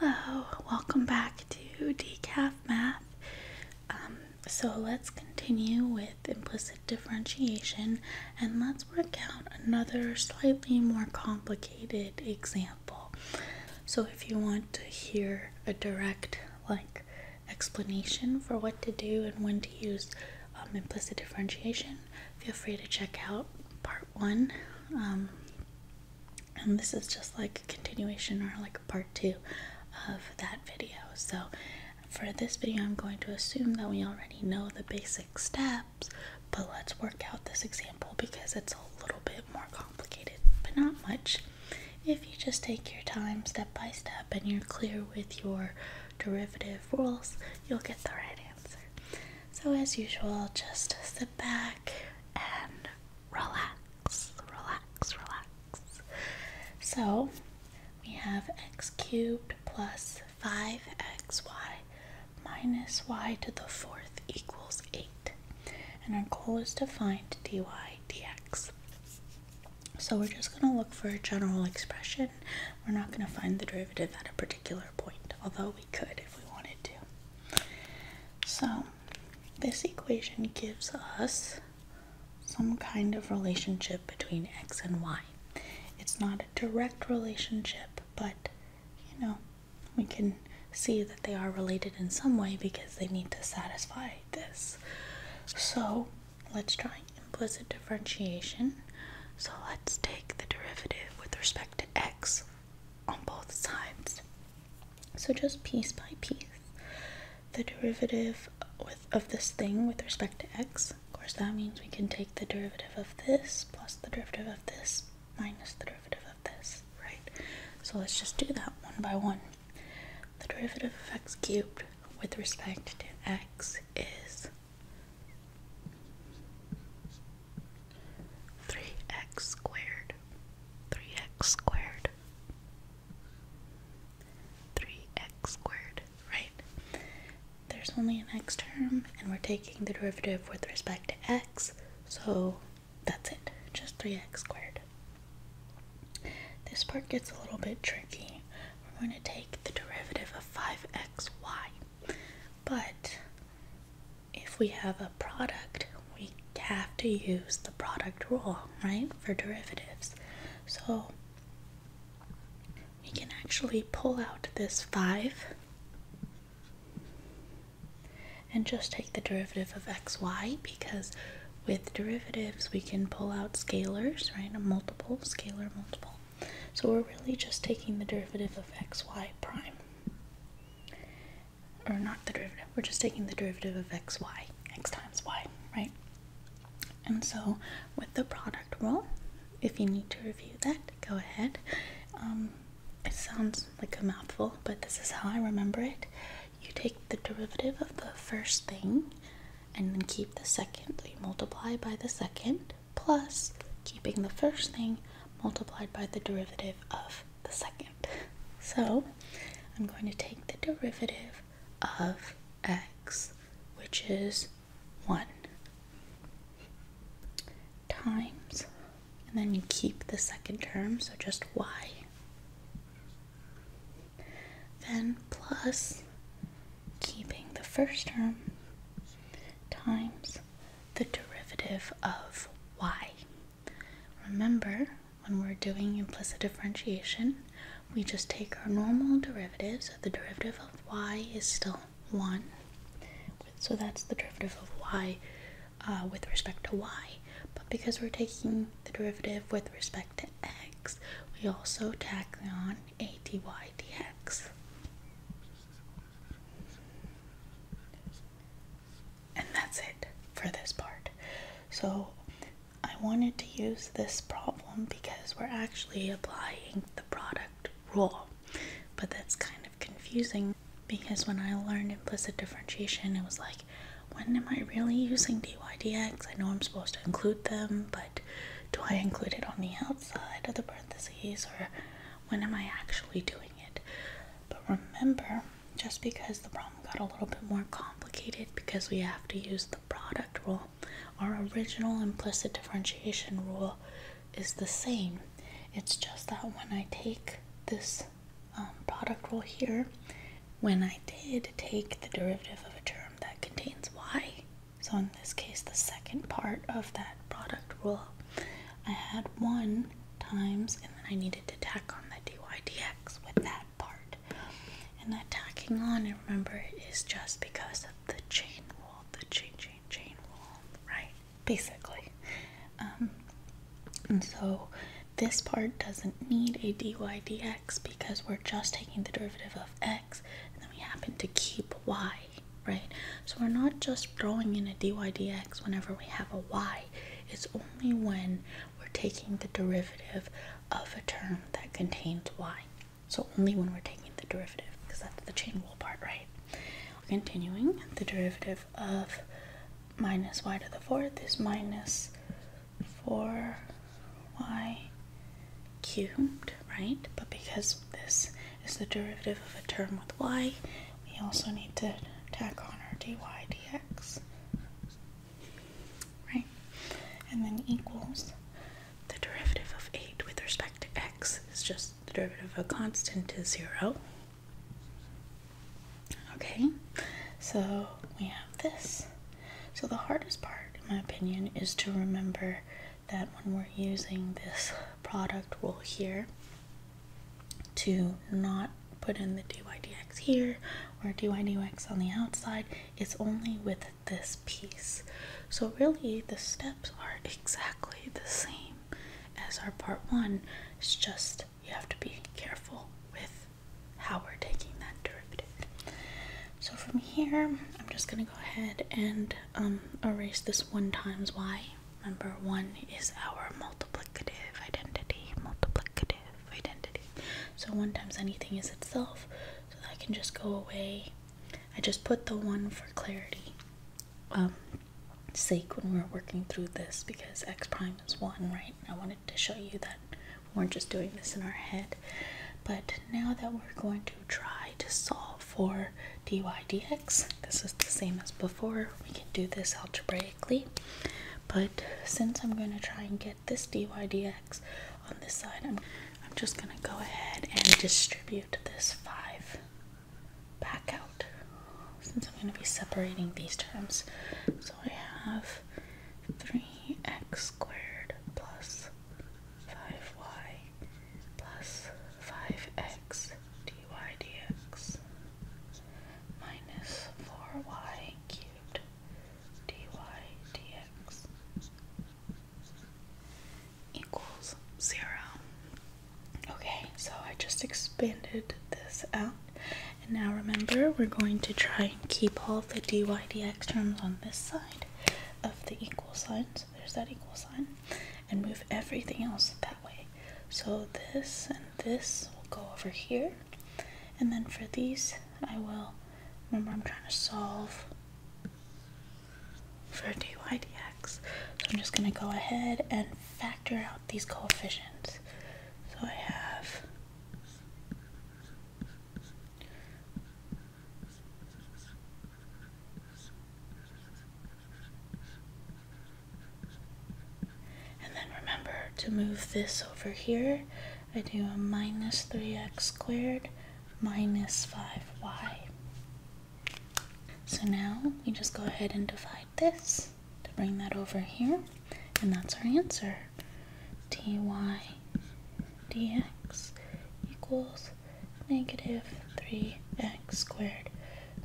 Hello, welcome back to Decaf Math. Um, so let's continue with implicit differentiation and let's work out another slightly more complicated example. So if you want to hear a direct like explanation for what to do and when to use um, implicit differentiation, feel free to check out part one. Um, and this is just like a continuation or like part two of that video so for this video i'm going to assume that we already know the basic steps but let's work out this example because it's a little bit more complicated but not much if you just take your time step by step and you're clear with your derivative rules you'll get the right answer so as usual just sit back and relax, relax, relax. So we have x cubed plus 5xy minus y to the fourth equals 8. And our goal is to find dy dx. So we're just going to look for a general expression. We're not going to find the derivative at a particular point, although we could if we wanted to. So this equation gives us some kind of relationship between x and y. It's not a direct relationship, but you know, we can see that they are related in some way because they need to satisfy this. So let's try implicit differentiation. So let's take the derivative with respect to x on both sides. So just piece by piece, the derivative of this thing with respect to x, of course that means we can take the derivative of this plus the derivative of this minus the derivative of this, right? So let's just do that one by one. The derivative of x cubed with respect to x is 3x squared, 3x squared, 3x squared, right? There's only an x term, and we're taking the derivative with respect to x, so that's it, just 3x squared. This part gets a little bit tricky. We're going to take the derivative of 5xy, but if we have a product, we have to use the product rule, right, for derivatives. So we can actually pull out this 5 and just take the derivative of xy because with derivatives we can pull out scalars, right, a multiple, scalar multiple. So we're really just taking the derivative of xy prime or not the derivative, we're just taking the derivative of xy, x times y, right? And so with the product rule, if you need to review that, go ahead. Um, it sounds like a mouthful, but this is how I remember it. You take the derivative of the first thing and then keep the second. So you multiply by the second plus keeping the first thing multiplied by the derivative of the second. So I'm going to take the derivative of x, which is 1, times, and then you keep the second term, so just y. Then plus keeping the first term times the derivative of y. Remember, when we're doing implicit differentiation, we just take our normal derivatives. so the derivative of y is still 1. So that's the derivative of y uh, with respect to y. But because we're taking the derivative with respect to x, we also tack on a dx. And that's it for this part. So I wanted to use this problem because we're actually applying the product rule. But that's kind of confusing because when I learned implicit differentiation, it was like, when am I really using dy dx? I know I'm supposed to include them, but do I include it on the outside of the parentheses or when am I actually doing it? But remember, just because the problem got a little bit more complicated because we have to use the product rule. Our original implicit differentiation rule is the same. It's just that when I take this um, product rule here, when I did take the derivative of a term that contains y, so in this case the second part of that product rule, I had 1 times and then I needed to tack on the dy dx with that part. And that tacking on, remember, is just because of the chain rule, the chain, chain, chain rule, right? Basically. Um, and so this part doesn't need a dy dx because we're just taking the derivative of x and then we happen to keep y, right? So we're not just throwing in a dy dx whenever we have a y. It's only when we're taking the derivative of a term that contains y. So only when we're taking the derivative, because that's the chain rule part, right? Continuing, the derivative of minus y to the fourth is minus 4y cubed, right? But because this is the derivative of a term with y, we also need to tack on our dy dx. Right? And then equals the derivative of 8 with respect to x is just the derivative of a constant is 0. Okay, so we have this. So the hardest part, in my opinion, is to remember that when we're using this product rule here, to not put in the dydx here or dydx on the outside. It's only with this piece. So really the steps are exactly the same as our part one. It's just you have to be careful with how we're taking that derivative. So from here, I'm just going to go ahead and um, erase this 1 times y. Remember, 1 is our multiplicative identity, multiplicative identity. So one times anything is itself, so that can just go away. I just put the one for clarity um, sake when we're working through this because x prime is one, right? I wanted to show you that we are just doing this in our head. But now that we're going to try to solve for dy dx, this is the same as before. We can do this algebraic but since I'm going to try and get this DYDX on this side, I'm, just going to go ahead and distribute this 5 back out since I'm going to be separating these terms. So I have 3x squared plus 5y plus 5x dy dx minus yq dy dx equals zero. Okay, so I just expanded this out. And now remember, we're going to try and keep all the dy dx terms on this side of the equal sign. So there's that equal sign. And move everything else that way. So this and this will go over here. And then for these, I will, remember I'm trying to solve for dy dx. So I'm just going to go ahead and factor out these coefficients. So I have and then remember to move this over here. I do a minus 3x squared minus 5y. So now we just go ahead and divide this to bring that over here. And that's our answer. dy dx equals negative 3x squared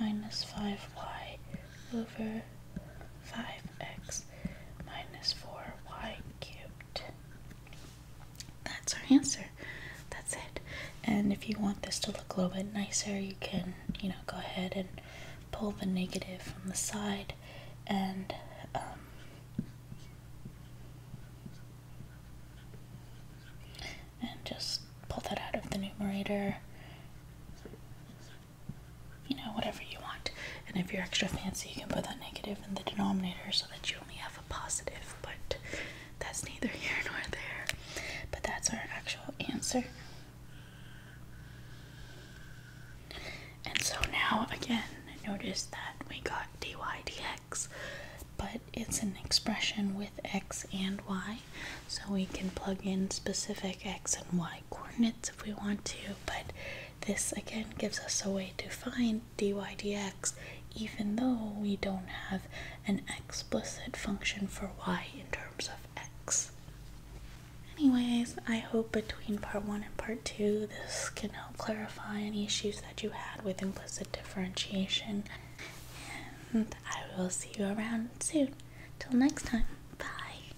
minus 5y over 5x minus 4y cubed. That's our answer. That's it. And if you want this to look a little bit nicer, you can, you know, go ahead and pull the negative from the side and um, and just pull that out of the numerator you know, whatever you want. And if you're extra fancy, you can put that negative in the denominator so that you only have a positive, but that's neither here nor there. But that's our actual answer. And so now, again, notice that we got dy dx, but it's an expression with x and y, so we can plug in specific x and y coordinates if we want to, but this again gives us a way to find dy dx even though we don't have an explicit function for y in terms of x. Anyways, I hope between part 1 and part 2 this can help clarify any issues that you had with implicit differentiation. And I will see you around soon. Till next time, bye.